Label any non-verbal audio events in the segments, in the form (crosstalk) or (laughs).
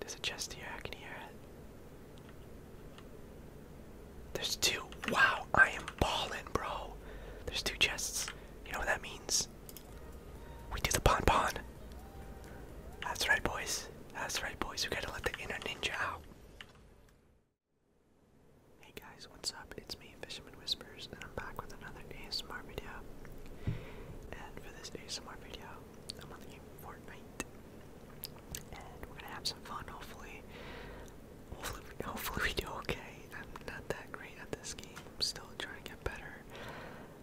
There's a chest here, I can hear it. There's two. Wow, I am balling, bro. There's two chests. You know what that means? We do the pon pon. That's right, boys. That's right, boys. We gotta let the inner ninja out. Hey guys, what's up? It's me, Fisherman Whispers, and I'm back with another ASMR video. And for this ASMR video, I'm on the game Fortnite, and we're gonna have some fun. Hopefully, hopefully, hopefully we do okay. I'm not that great at this game. I'm still trying to get better.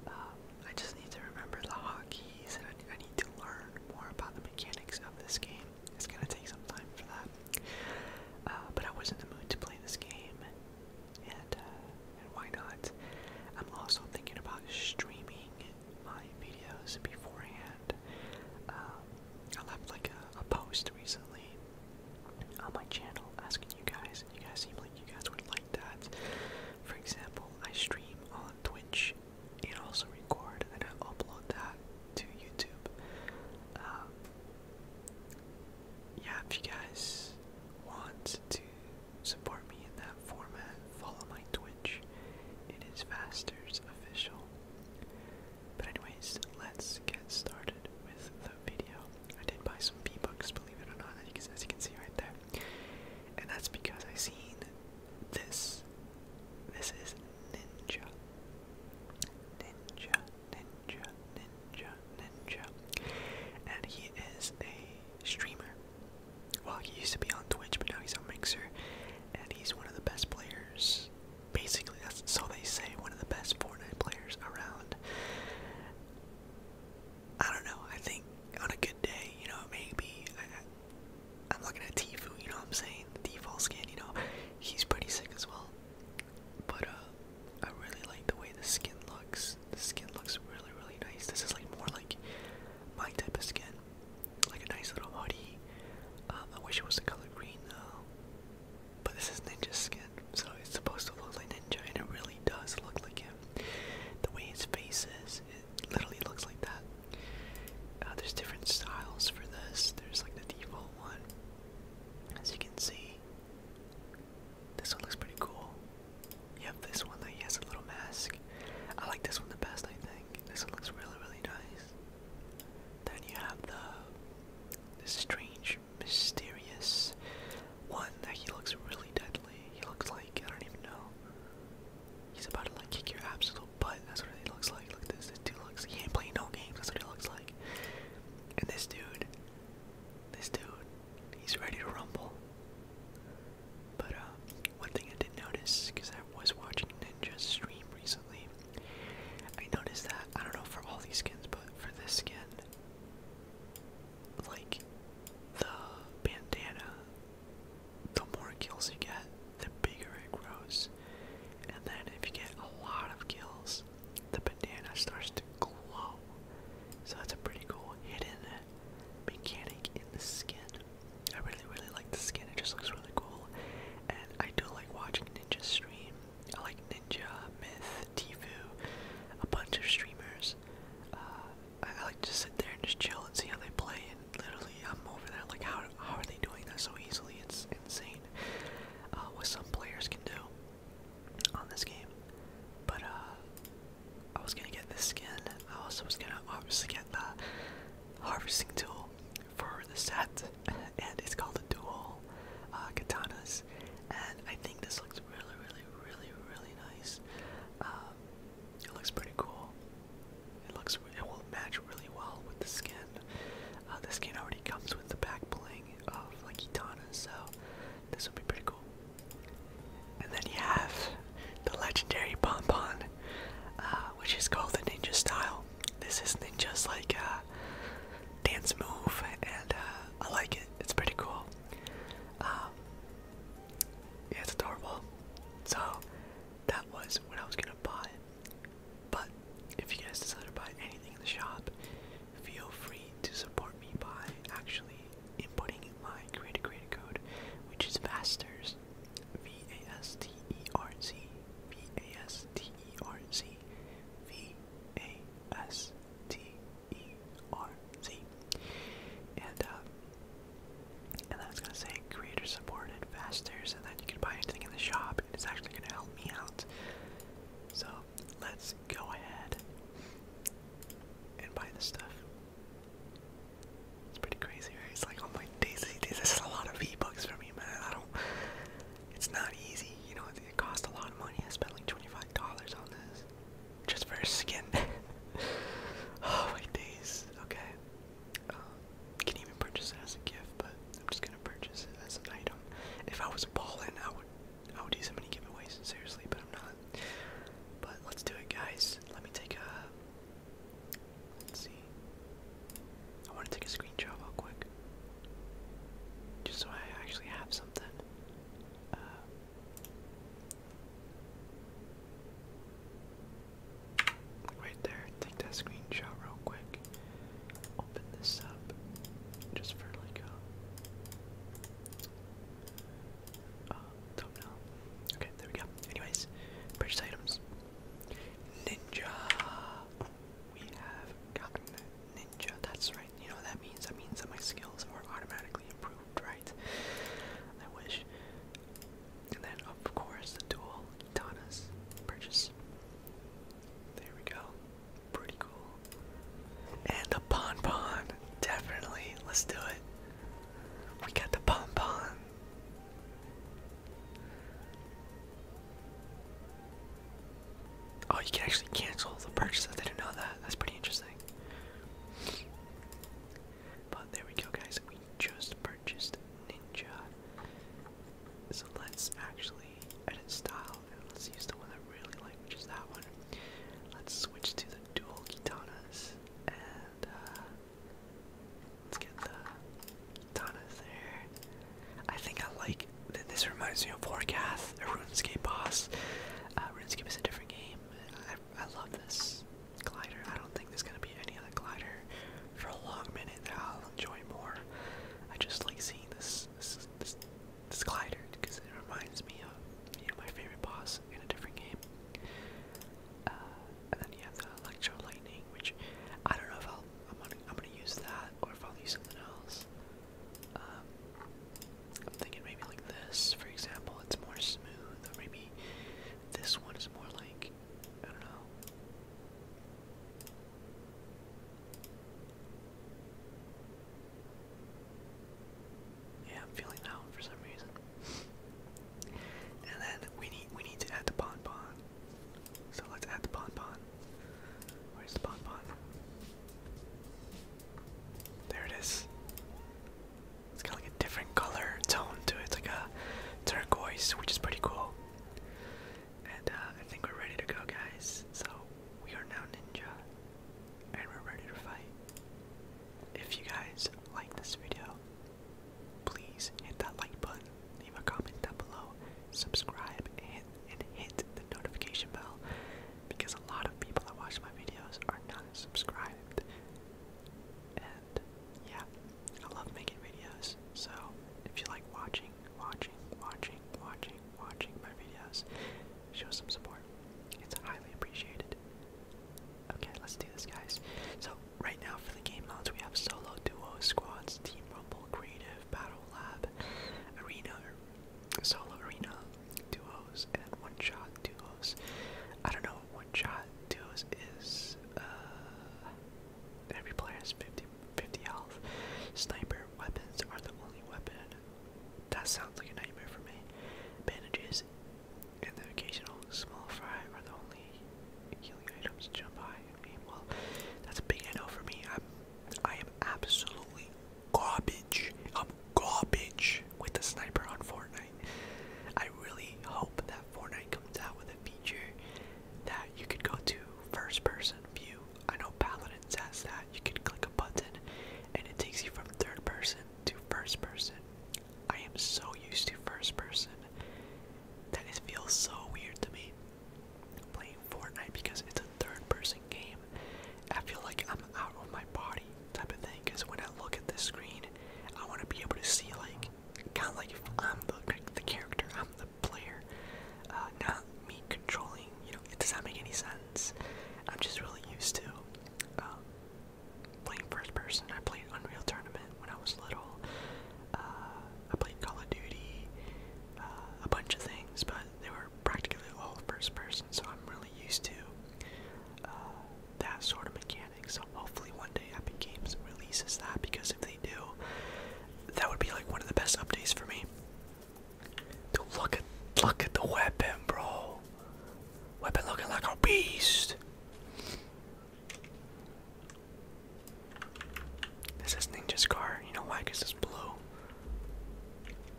Um, I just need to remember the hotkeys, and I, need to learn more about the mechanics of this game. It's gonna take some time for that. Uh, but I was in the mood to play this game, and, uh, why not? I'm also thinking about streaming my videos beforehand. Um, I left like a post recently on my channel asking you guys you guys seem like you guys would like that. For example, I stream on Twitch and also record and I upload that to YouTube. Um, yeah, if you guys want to support me in that format, follow my Twitch. It is Faster's official. But anyways, let's get started with the video. I did buy some V bucks believe it or not, as you can see right there. And that's because I seen this. This is Ninja. Ninja, Ninja, Ninja, Ninja. And he is a streamer. Well, he used to be on Twitch, but now he's on Mixer. And he's one of the best players. Basically, that's so they say one of the best Fortnite players around. I don't know. I think on a good day, you know, maybe I, I'm looking at Tifu. You know what I'm saying? default skin. You know, he's pretty sick as well. But uh, I really like the way the skin looks. The skin looks really, really nice. This is like more like my type of skin, like a nice little hoodie. Um, I wish it was the color green though. But this is ninja skin, so it's supposed to look like ninja, and it really does look like him. The way his face is, it literally looks like that. Uh, there's different styles for this. There's like the default one. As you can see, this one looks pretty cool. You have this one that he has a little mask. I like this one the best, I think. This one looks really, really nice. Then you have the, this strange, mysterious one that he looks really deadly. He looks like I don't even know. He's about to like kick your absolute butt. That's what he looks like. Look at this. This dude looks. He ain't playing no games. That's what he looks like. And this dude, this dude, he's ready to rumble. But uh, one thing I did not notice, because I was watching Ninja's stream recently, I noticed that I don't know for all these skins, but for this skin, like the bandana, the more kills you get, the bigger it grows. And then if you get a lot of kills, the bandana starts to glow. So that's a pretty cool hidden mechanic in the skin. I really, really like the skin. It just looks really cool. And I do like watching Ninja stream. I like Ninja, Myth, Tifu, a bunch of streamers. Uh, I, like to sit there and just chill and see how they play. And literally, I'm over there like, how how are they doing that so easily? It's insane uh, what some players can do on this game. But uh, I was gonna get this skin. I also was gonna obviously get the harvesting tool for the set, and it's called the dual uh, katanas. And I think this looks really, really, really, really nice. It looks pretty cool. It looks it will match really well with the skin. Uh, the skin already comes with the back bling of like Kitana, so this will be pretty cool. And then you have the legendary Bon Bon, uh, which is called the Ninja Style. This is Ninja's like uh, dance move, and uh, I like it. It's pretty cool. Um, yeah, it's adorable. So that was what I was gonna buy. But if you guys decide to buy anything in the shop, feel free to support me by actually inputting my creator creator code, which is Vasters. V A S T E R Z V A S T E R Z V A S T E-R-Z. And, uh, and then it's gonna say creator supported fasters, and then you can buy anything in the shop, and it's actually gonna help me out. So let's go ahead and buy this stuff. It's pretty crazy, right? It's like, oh my days, this is a lot of V-Bucks for me, man. I don't, it's not easy, you know, it, it cost a lot of money. I spent like $25 on this just for her skin. (laughs) oh my days. Okay. Um, can even purchase it as a gift, but I'm just gonna purchase it as an item. If I was a I would, I would do so many giveaways, seriously, but I'm not. But let's do it, guys. Let me take a. Let's see. I want to take a screenshot real quick, just so I actually have something. Uh, Right there, take that screenshot real quick. Open this up just for like a uh, thumbnail. Okay, there we go. Anyways, purchase items. Ninja! We have gotten Ninja. That's right. You know what that means? That means that my skills are automatically improved right? I wish. And then, of course, the dual Tana's purchase. There we go. Pretty cool. And the Pon Pon! Definitely. Let's do it. We got the Pon Pon. Oh, you can actually cancel the purchase. I didn't know that. That's pretty interesting. But there we go, guys. We just purchased Ninja. So let's actually edit style and let's use the one I really like, which is that one. Let's switch to the dual katanas and uh, let's get the katanas there. I think I like that. This reminds me of Warcath, a RuneScape boss. Uh, RuneScape is a different game. I, love this glider. I don't think there's gonna be any other glider for a long minute that I'll enjoy more. I just like seeing this this this, glider because it reminds me of you know my favorite boss in a different game. Uh, and then you have electro lightning, which I don't know if I'll I'm gonna I'm gonna use that or if I'll use something else. Um, I'm thinking maybe like this, for example, it's more smooth, or maybe this one is more like, I don't know. Yeah, I'm feeling that for some reason. and then we need we need to add the bonbon. So let's add the bonbon. Where's the bonbon? There it is. It's got like a different color tone to it. It's like a turquoise, which is pretty cool. And uh, I think we're ready to go, guys. So we are now ninja, and we're ready to fight. If you guys like this video, please hit that like button, leave a comment down below, subscribe, and, and hit the notification bell because a lot of people that watch my videos are not subscribed. And yeah, I love making videos. So if you like watching, watching, watching, watching, watching my videos, show some support. It's highly appreciated. Okay, let's do this, guys. So right now for the game modes, we have solo, duo, squads, team rumble, creative, battle lab, arena, solo arena, duos, and then one shot duos. I don't know what one shot duos is. Uh, every player has 50, 50 health. Sniper weapons are the only weapon. That sounds like a nightmare for me. Bandages and the occasional small fry are the only healing items. Jump high and aim well. That's a big no for me. I'm, I am absolutely garbage garbage. I'm garbage with a sniper on Fortnite. I really hope that Fortnite comes out with a feature that you could go to first person view. I know Paladin says that. You can click a button and it takes you from third person to first person. I am so used to first person that it feels so weird to me playing Fortnite because it's a third person game. I feel like I'm out on my body type of thing. Cause when I look at this screen, I want to be able to see like, kind of like if I'm the the character, I'm the player, uh, not me controlling. You know, it does not make any sense. I'm just really used to um, playing first person. I played Unreal Tournament when I was little. Uh, I played Call of Duty, uh, a bunch of things, but they were practically all first person. So I'm really used to uh, that sort of mechanic. So hopefully one day Epic Games releases that because if they do, that would be like one of the best updates for me. look at look at the weapon, bro. Weapon looking like a beast. This is Ninja's car. You know why? it's blue.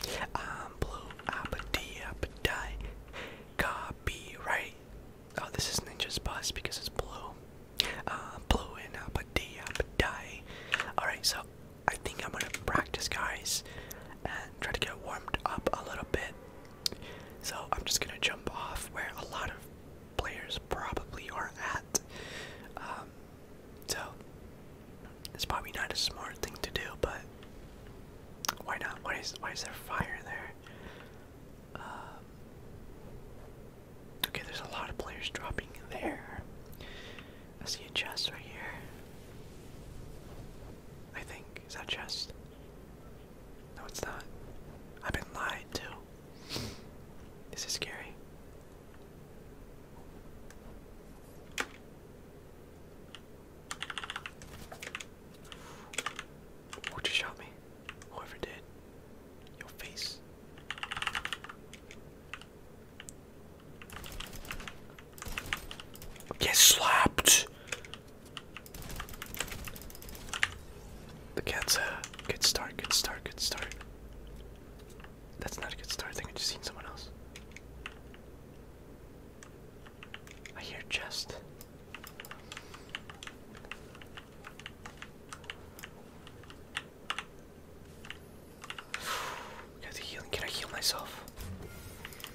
blue. I'm a Copyright. Oh, this is Ninja's boss because it's blue. Uh, blue and uh, Padilla, uh, Alright, so I think I'm gonna practice, guys, and try to get warmed up a little bit. So I'm just gonna jump off where a lot of players probably are at. Um, so it's probably not a smart thing to do, but why not? Why is why is there fire there? Um, okay, there's a lot of players dropping there. I see a chest right here. I think is that chest? No, it's not. I've been lied to. this is scary. Who just shot me? Whoever did. Your face. Get slapped. The cat's good start, good start, good start. That's not a good start. I think I just seen someone else. I hear chest. (sighs) Can I heal myself?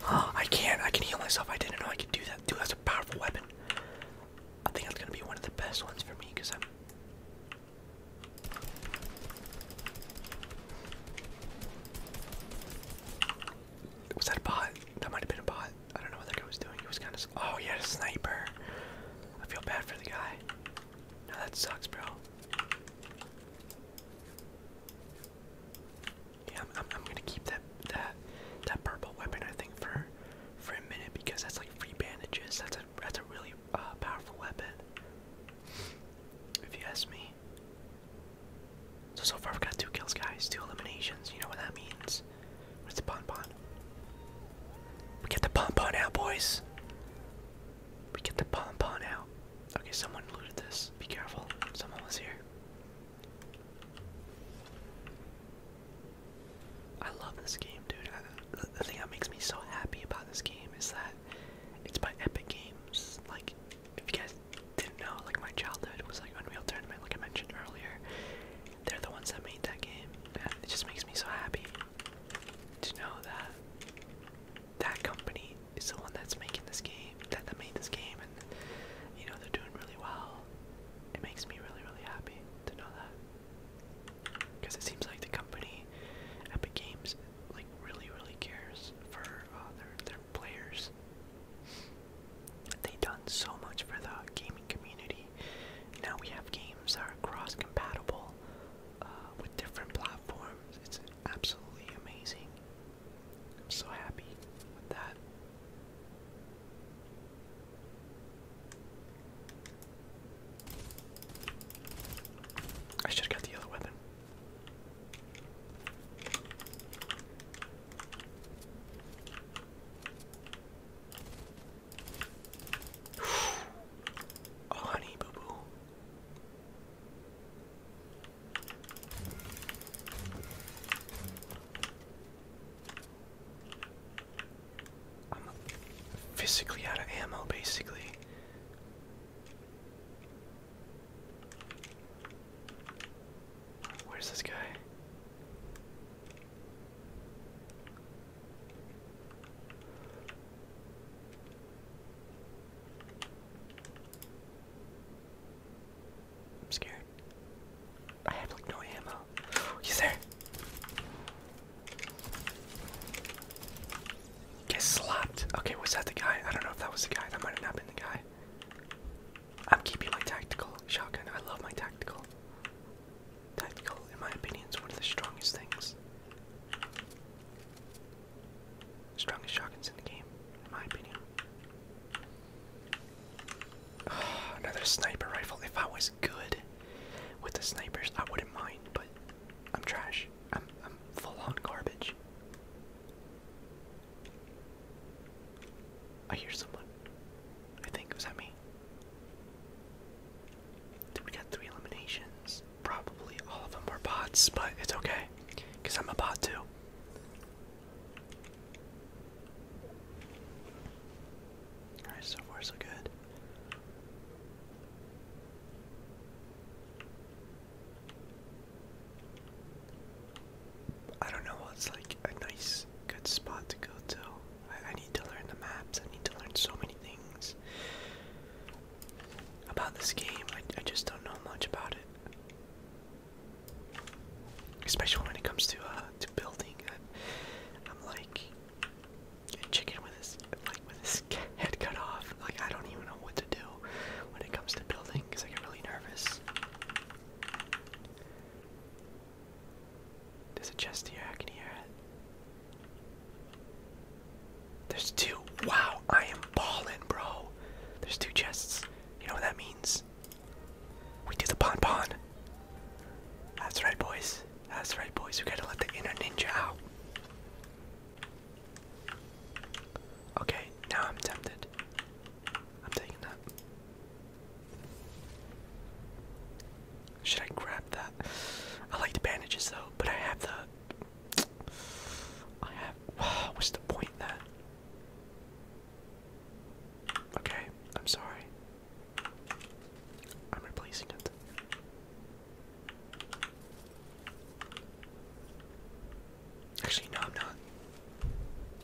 Oh, (gasps) I can. I can heal myself. I didn't know I could do that. Dude, that's a powerful weapon. I think that's gonna be one of the best ones for me because I'm. Was that a bot? That might have been a bot. I don't know what that guy was doing. He was kind of. Oh, he had a sniper. I feel bad for the guy. No, that sucks, bro. Yeah, I'm, gonna keep that that that purple weapon. I think for for a minute because that's like free bandages. That's a that's a really uh, powerful weapon. If you ask me. So, so far we've got two kills, guys. Two eliminations. You know what that means. Where's the pom-pom? We get the pom-pom out, boys. We get the pom-pom out. Okay, someone looted this. Be careful. Someone was here. I love this game, dude. the thing that makes me so happy about this game is that it's by Epic Games. Like, if you guys didn't know, like my childhood was like Unreal Tournament, like I mentioned earlier. They're the ones that made that game, and it just makes me so happy to know that that company is the one that's making this game, that, that made this game, and you know they're doing really well. It makes me really, really happy to know that because it seems like the company, Epic Games, like really, really cares for uh, their their players. They've done so much for the gaming community. Now we have games that are cross compatible uh, with different platforms. It's absolutely amazing. I'm so happy with that. I should got the other weapon. (sighs) Oh, honey, boo boo. I'm physically out of ammo, basically. Where's this guy? I'm scared. I have like no ammo. (gasps) He's there. Get slapped. Okay, was that the guy? I don't know if that was the guy. That might have not been the guy. I'm keeping my tactical shotgun. I love my tactical. Tactical, in my opinion, is one of the strongest things. Strongest shotguns in the game, in my opinion. (sighs) another sniper rifle. If I was good with the snipers, I wouldn't mind, but I'm trash. I'm full on garbage. I hear someone. I think, was that me? We got three eliminations. Probably all of them were bots, but it's okay. Because I'm a bot too. Alright, so far so good. I don't know what's like a nice, good spot to go to. I, need to learn the maps. I need to learn so many things about this game. I, just don't know much about it, especially when it comes to uh, to building. I'm, I'm like a chicken with his like with his (laughs) head cut off. Like I don't even know what to do when it comes to building because I get really nervous. There's a chest here, I can hear it. There's two. Wow, I am balling, bro. There's two chests. You know what that means? We do the pon pon. That's right, boys. That's right, boys. We gotta let the inner ninja out. Okay, now I'm tempted. I'm taking that. Should I grab that? I like the bandages though, but I have the. I have. (sighs) what's the point that? Okay, I'm sorry. I'm replacing it. Actually, no, I'm not.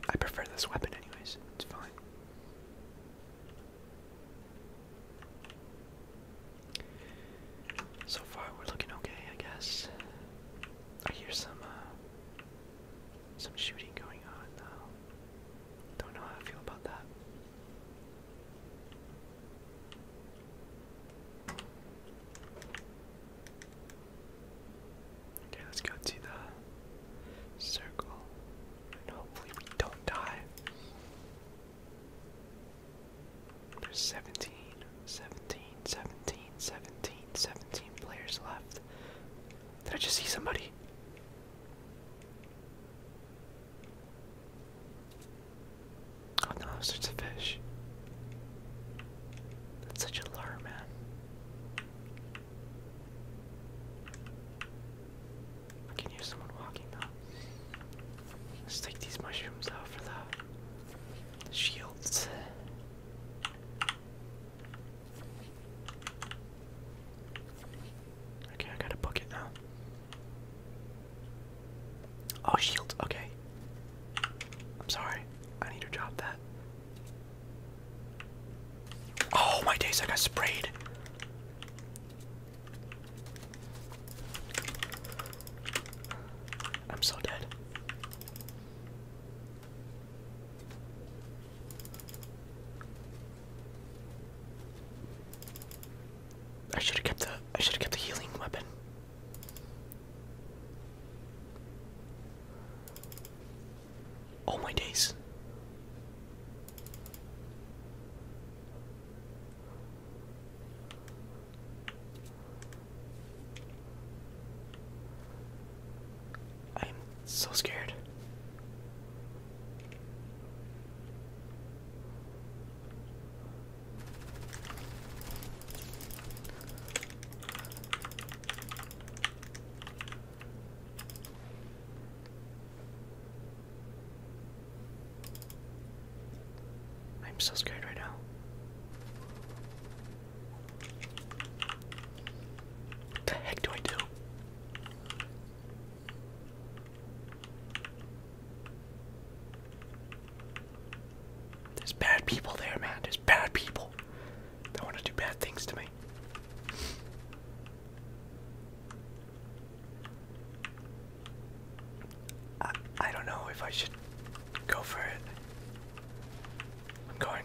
I prefer this weapon, anyways. It's fine. So far, we're looking okay, I guess. I hear some, uh, some shooting going on though. Don't know how I feel about that. Okay, let's go to the circle. And hopefully we don't die. There's 17, 17, 17, 17, players left. Did I just see somebody? Oh no, it's a fish. That's such a lure, man. I can hear someone walking now. Let's take these mushrooms out for the shields. Okay, I got a bucket now. Oh, shields. Okay. I'm sorry. I need to drop that. Oh my days, I got sprayed. I'm so dead. I should have kept the I should have kept the healing weapon. All my days. I'm so scared. I'm so scared right now. What the heck do I do? There's bad people there, man. There's bad people. They want to do bad things to me. I don't know if I should go for it. I'm going.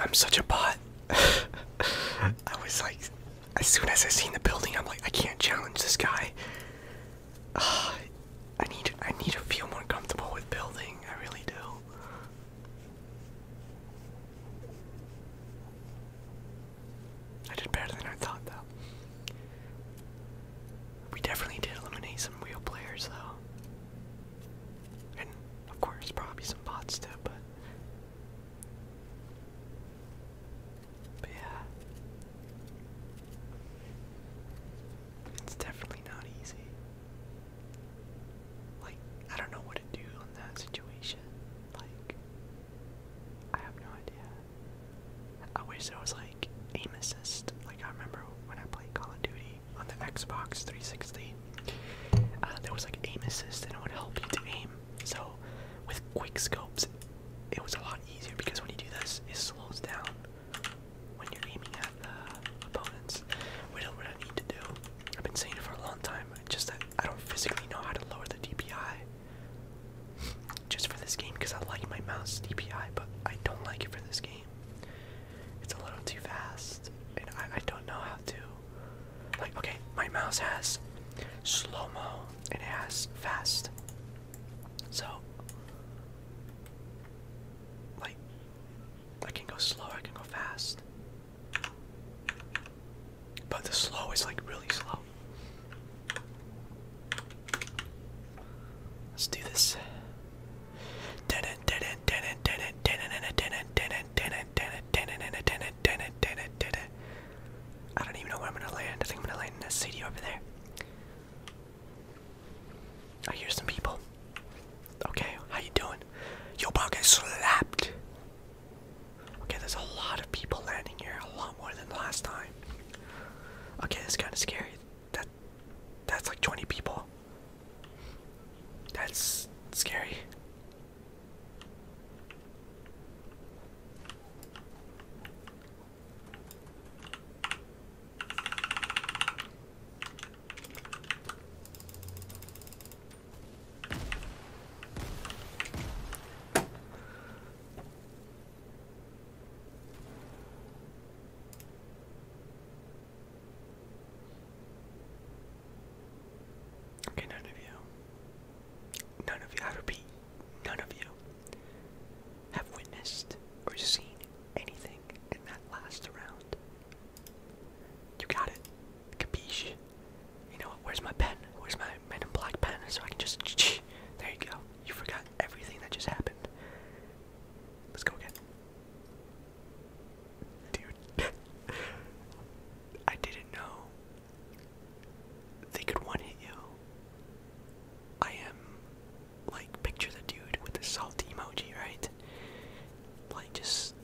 I'm such a bot. (laughs) I was like, as soon as I seen the building, I'm like, I can't challenge this guy. I need I need to feel more comfortable with building. I really do. I did better than I thought, though. We definitely did eliminate some real players, though. And, of course, probably some bots, too, But yeah. It's definitely not easy. Like, I don't know what to do in that situation. Like, I have no idea. I wish there was like aim assist. Like, I remember when I played Call of Duty on the Xbox 360, uh, there was like aim assist that would help you to aim. So, with quick scopes, it was a lot easier because when you do this, it slows down when you're aiming at opponents, which is what I need to do. I've been saying it for a long time, just that I don't physically know how to lower the DPI just for this game because I like my mouse DPI, but I don't like it for this game. It's a little too fast, and I don't know how to. Like, okay, my mouse has slow mo and it has fast. So, like I can go slow, I can go fast. But the slow is like really slow. Let's do this. I don't even know where I'm gonna land. I think I'm gonna land in a city over there. I hear some people. Okay, how you doing? Your bro, get slapped. Okay, there's a lot of people landing here, a lot more than last time. Okay, that's kind of scary. That, that's like 20 people. That's scary. Okay, none of you. None of you. I repeat, none of you have witnessed or seen anything in that last round. You got it. Capiche. You know what? Where's my pen? Where's my men black pen? So I can just. (tsk) There you go. You forgot everything that just happened. Let's go again. Dude. (laughs) I didn't know they could one hit you. I am like picture the dude with the salty emoji, right? Like just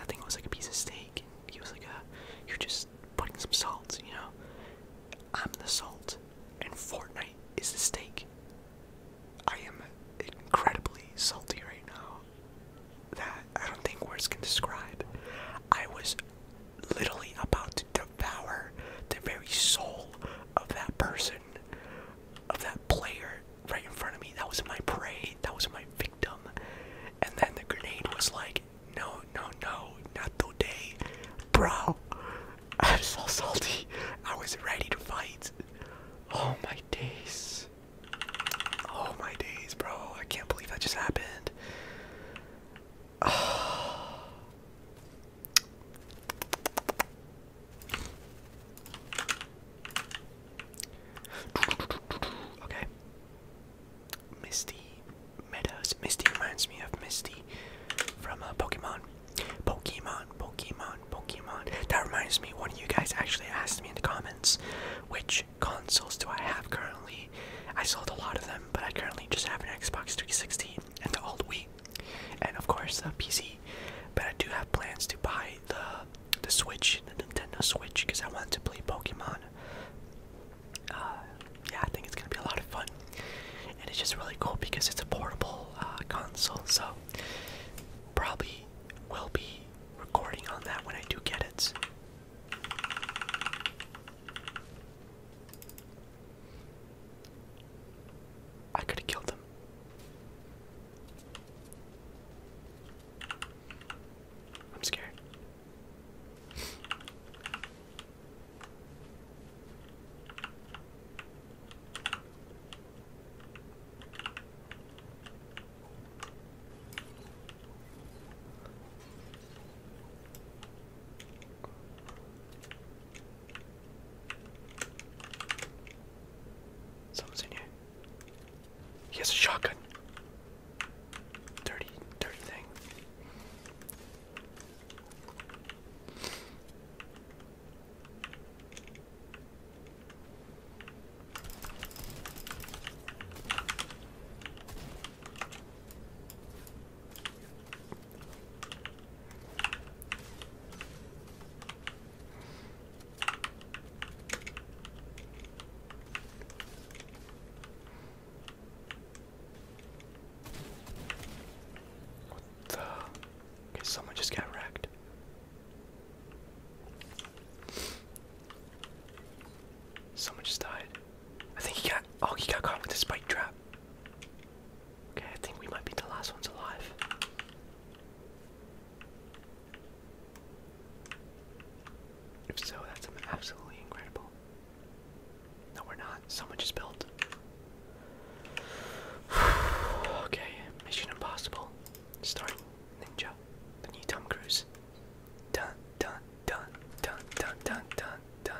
I think it was like a piece of steak and he was like a you're just putting some salt, you know? I'm the salt and Fortnite is the steak. I am incredibly salty right now. That I don't think words can describe. I was literally about to devour the very soul of that person, of that player right in front of me. That was my prey, that was my victim. And then the grenade was like, no, no, no, not today. Bro, I'm so salty. I was ready to fight. Oh my days. Oh my days, bro. I can't believe that just happened. (sighs) Okay. Misty Meadows. Misty reminds me of Misty from a uh, Pokemon. Pokemon, Pokemon, Pokemon. That reminds me, one of you guys actually asked me in the comments which consoles do I have currently. I sold a lot of them, but I currently just have an Xbox 360 and the old Wii and of course the PC. But I do have plans to buy the the Switch, the Nintendo Switch, because I want to play Pokemon. Uh, yeah, I think it's gonna be a lot of fun, and it's just really cool because it's a portable uh, console. So probably will be recording on that when I do get it. I could have killed him. I'm scared. Someone's in here. He has a shotgun. Dirty, dirty thing. What the? Okay, someone just got wrecked. Someone just died. I think he got. Oh, he got caught with the spike trap. Okay, I think we might be the last ones alive. If so, that's absolutely incredible. No, we're not. Someone just built. (sighs) okay, Mission Impossible. Starting Ninja. The new Tom Cruise. Dun, dun, dun, dun, dun, dun, dun, dun.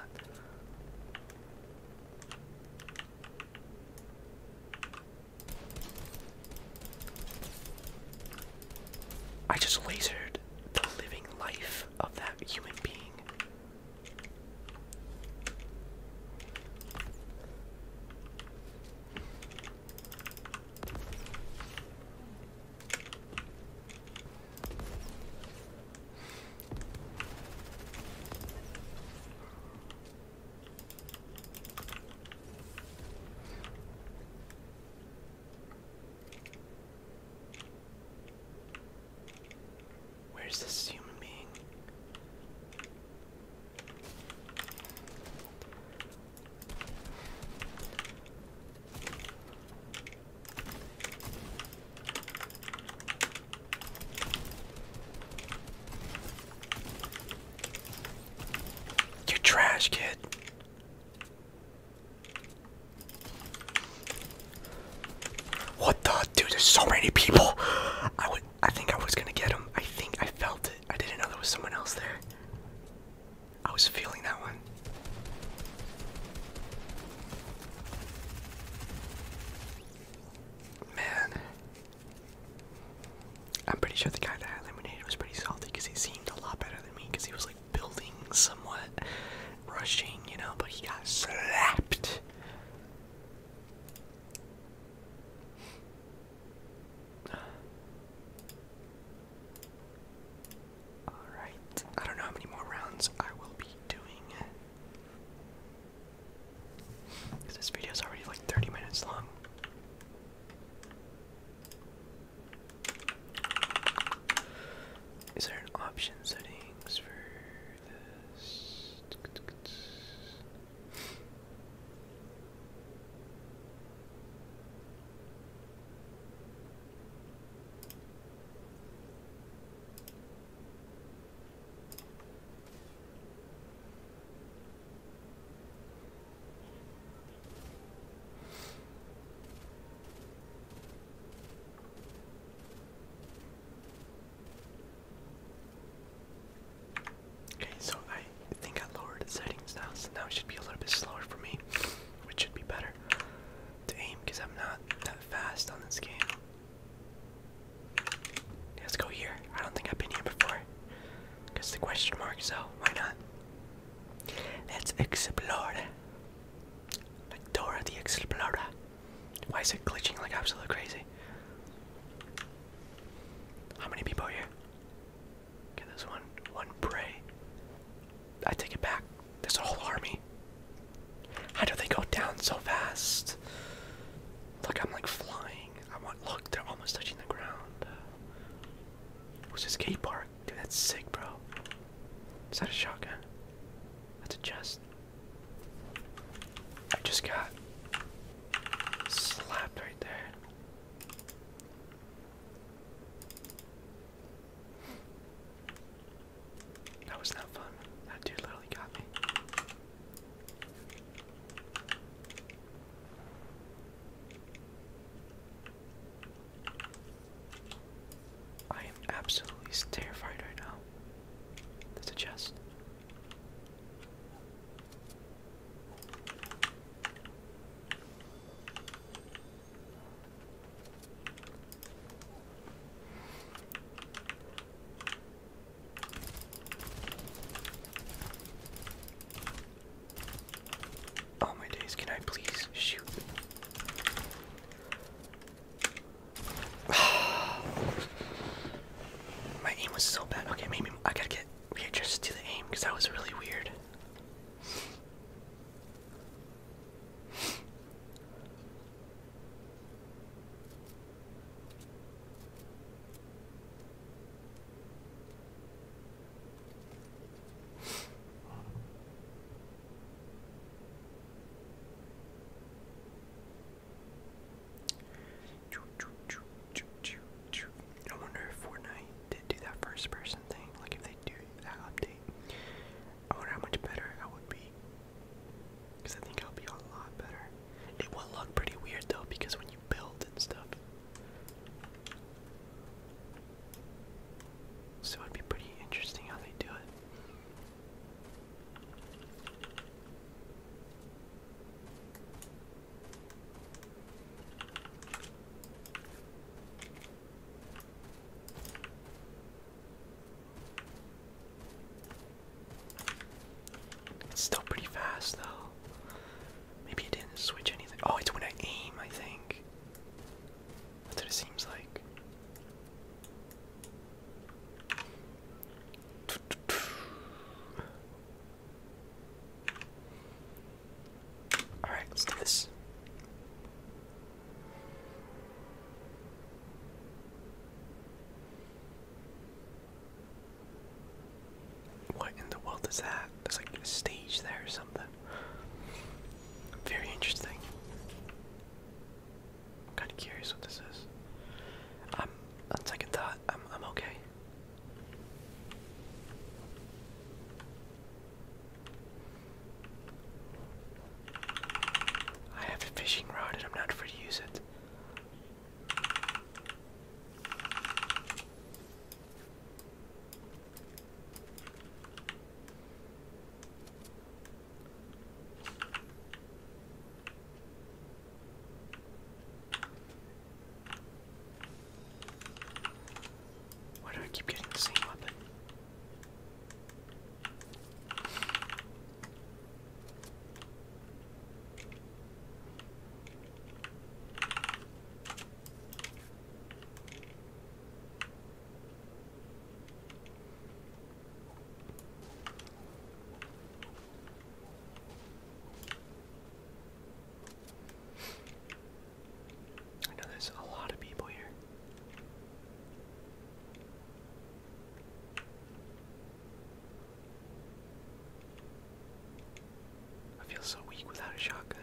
I just lasered the living life of that human being. Where's this human being? You're trash, kid. What the dude? There's so many people. I would. I think I was gonna get him. I think I felt it. I didn't know there was someone else there. I was feeling that one. Man. I'm pretty sure the guy that I eliminated was pretty salty because he seemed a lot better than me because he was like building somewhat, rushing, you know, but he got slapped. (sighs) Alright, I don't know how many more rounds I will be doing. This video is already like 30 minutes long. Is there an option settings for this? Okay, so I think I lowered the settings now, so now it should be a little bit slower for me, which should be better to aim because I'm not that fast on this game. Let's go here. I don't think I've been here before. Because the question mark, so why not? Let's explore. Like Dora the Explorer. Why is it glitching like absolutely crazy? How many people are here? Okay, there's one. One prey. I take it back. There's a whole army. How do they go down so fast? Look, I'm like flying. I want. Look, they're almost touching the ground. What's this skate park? Dude, that's sick, bro. Is that a shotgun? That's a chest. I just got slapped right there. That was not fun. That dude literally got me. I am absolutely terrified right now. That's a chest. Oh my days, can I please shoot? (sighs) my aim was so bad. Okay, maybe I gotta get readjusted to the aim because that was really weird. I wonder if Fortnite did do that first person thing, like if they do that update. I wonder how much better I would be because I think I'll be a lot better. It will look pretty weird though, because when you build and stuff. So it'd be pretty interesting how they do it. It's still pretty fast though. Maybe it didn't switch anything. Oh, it's when I aim, I think. That's what it seems like. Alright, let's do this. What in the world is that? There's like a stage there or something. Very interesting. I'm kind of curious what this is. Um, on second thought, I'm, okay. I have a fishing rod and I'm not afraid to use it. Why do I keep getting the same weapon? I know there's a lot of people here. I feel so weak without a shotgun.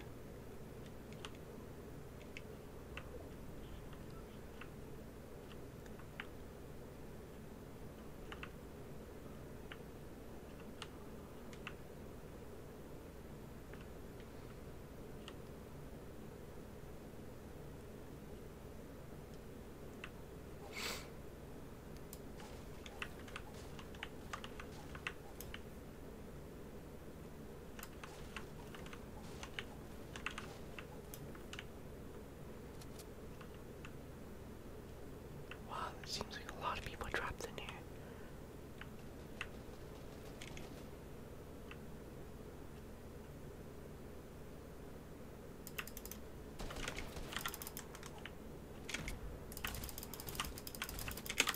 Wow, it seems like a lot of people dropped in here.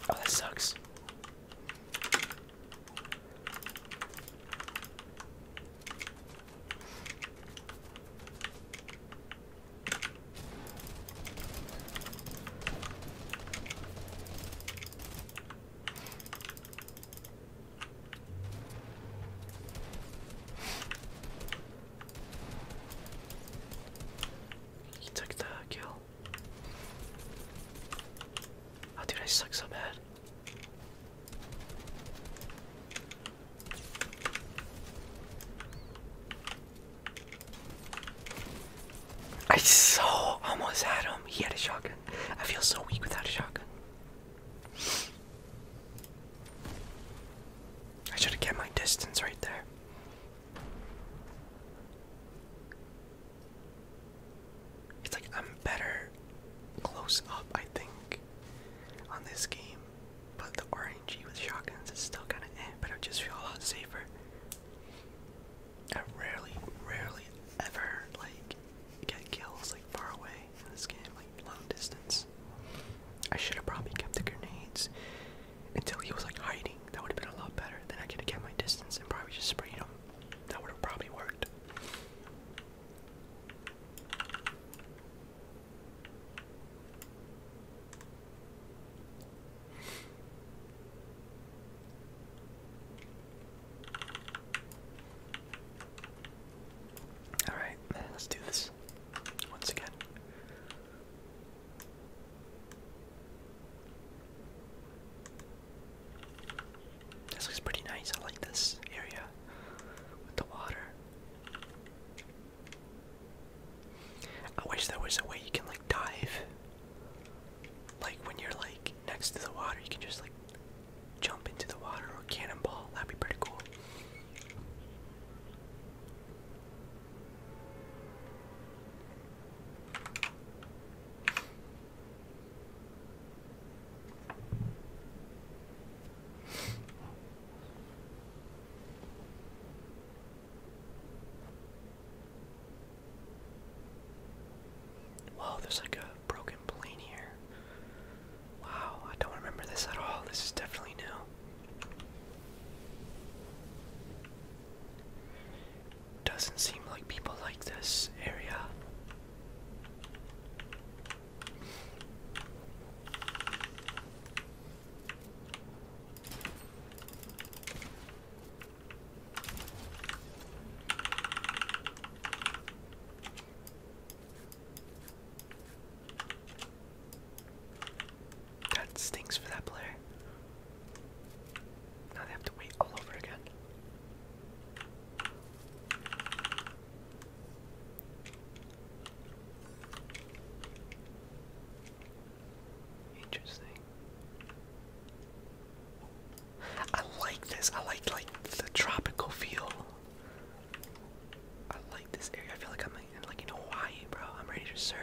Oh, that sucks. He took the kill. Oh dude, I suck so bad. I so almost had him. He had a shotgun. I feel so weak without a shotgun. I should have kept my distance right there. It's like I'm better close up, I think, on this game. But the RNG with shotguns is still kind of eh, but I just feel a lot safer. I rarely, rarely ever like get kills like far away in this game, like long distance. I should have probably kept the grenades until he was like hiding. That would have been a lot better. Then I could have kept my distance and probably just sprayed him. That would have probably worked. Alright, let's do this once again. This looks pretty nice. I like this area with the water. I wish there was a way you can like dive. Like when you're like next to the water, you can just like jump into the water or cannonball. That'd be pretty cool. Whoa, there's like a broken plane here. Wow, I don't remember this at all. This is definitely new. Doesn't seem like people like this area. That stinks for that player. Now they have to wait all over again. Interesting. I like this. I like like the tropical feel I like this area. I feel like I'm in, like in Hawaii, bro. I'm ready to surf.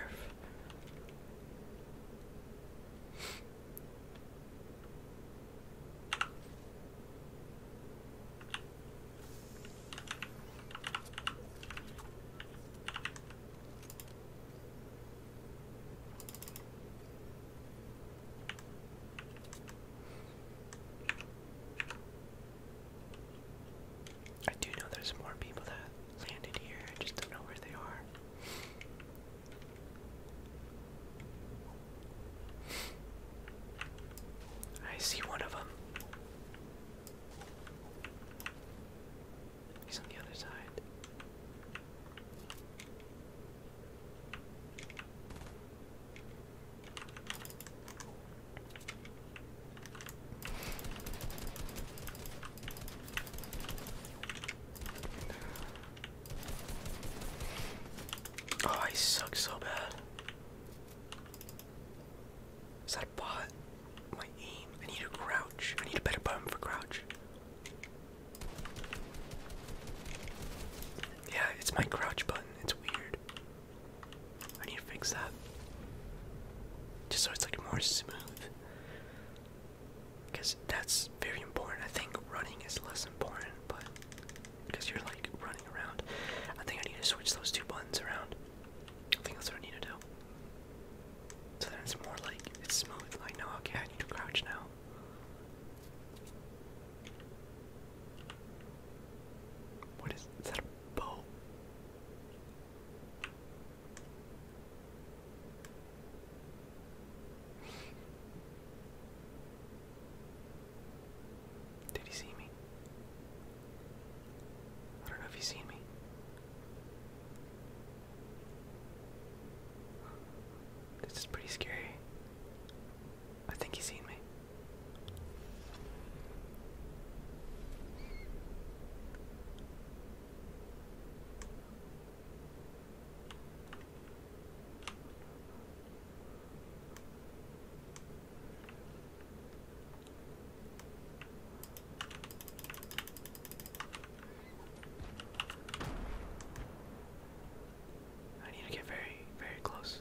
I do know there's more people that landed here, I just don't know where they are. I see one of them. He's on the other side. Oh, I suck so bad. Is that bot? My aim. I need a crouch. I need a better button for crouch. Yeah, it's my crouch button. It's weird. I need to fix that. Just so it's like more smooth. Because that's very important. I think running is less important, but because you're like running around. I think I need to switch those two buttons around. I think that's what I need to do. So then it's more like it's smooth. Like, no, okay, I need to crouch now. What is, that did he see me? I don't know if he's seen me. This is pretty scary. I think he's seen me. I need to get very, very close.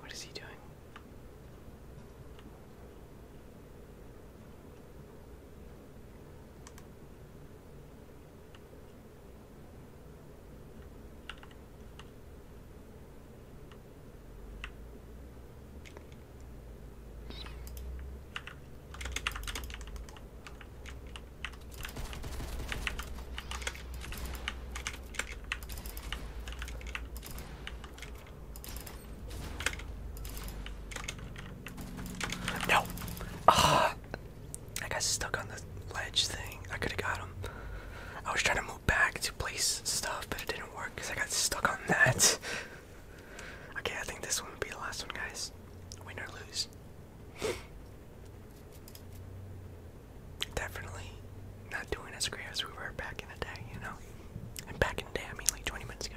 What is he doing? No! Ah! I got stuck on the ledge thing. I could have got him. I was trying to move back to place stuff, but it didn't work because I got stuck on that. (laughs) okay, I think this one will be the last one, guys. Win or lose. Definitely not doing as great as we were back in the day, you know? And back in the day, I mean like 20 minutes ago.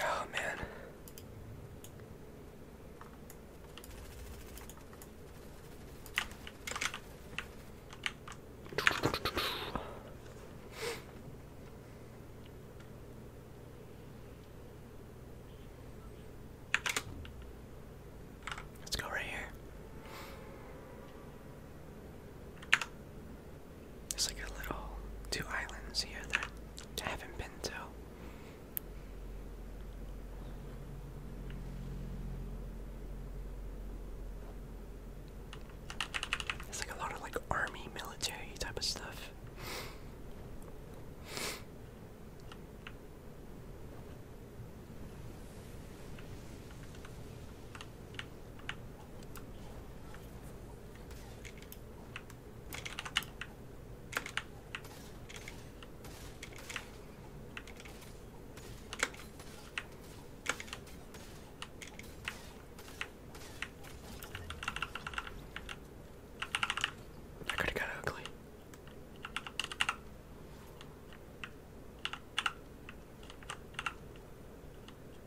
Oh man. Let's go right here. It's like a little two islands here that I haven't been to. It's like a lot of like army, military type of stuff. That could have got ugly.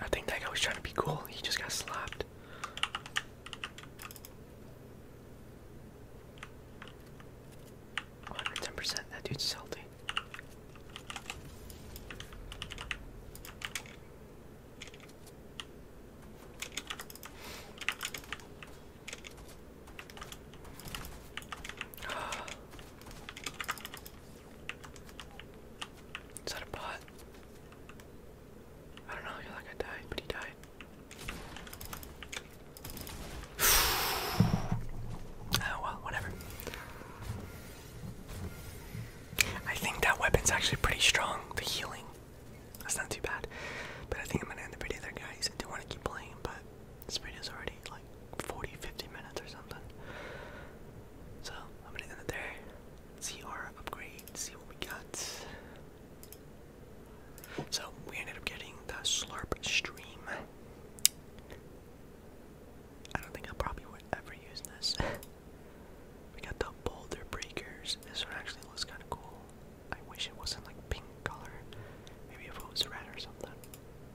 I think that guy was trying to be cool. He just got slapped. One hundred ten percent. That dude's salty. (gasps) Is that a bot? I don't know, you're like I died, but he died. (sighs) oh well, whatever. I think that weapon's actually pretty strong, the healing. That's not too bad. But I think I'm gonna end the video there guys. I do want to keep playing, but this video's already like 40, 50 minutes or something. So I'm gonna end it there. See our upgrade, see what we got. So we ended up getting the Slurp Stream. I don't think I will probably would ever use this. (laughs) we got the Boulder Breakers. This one actually looks kind of cool. I wish it wasn't like pink color. Maybe if it was red or something.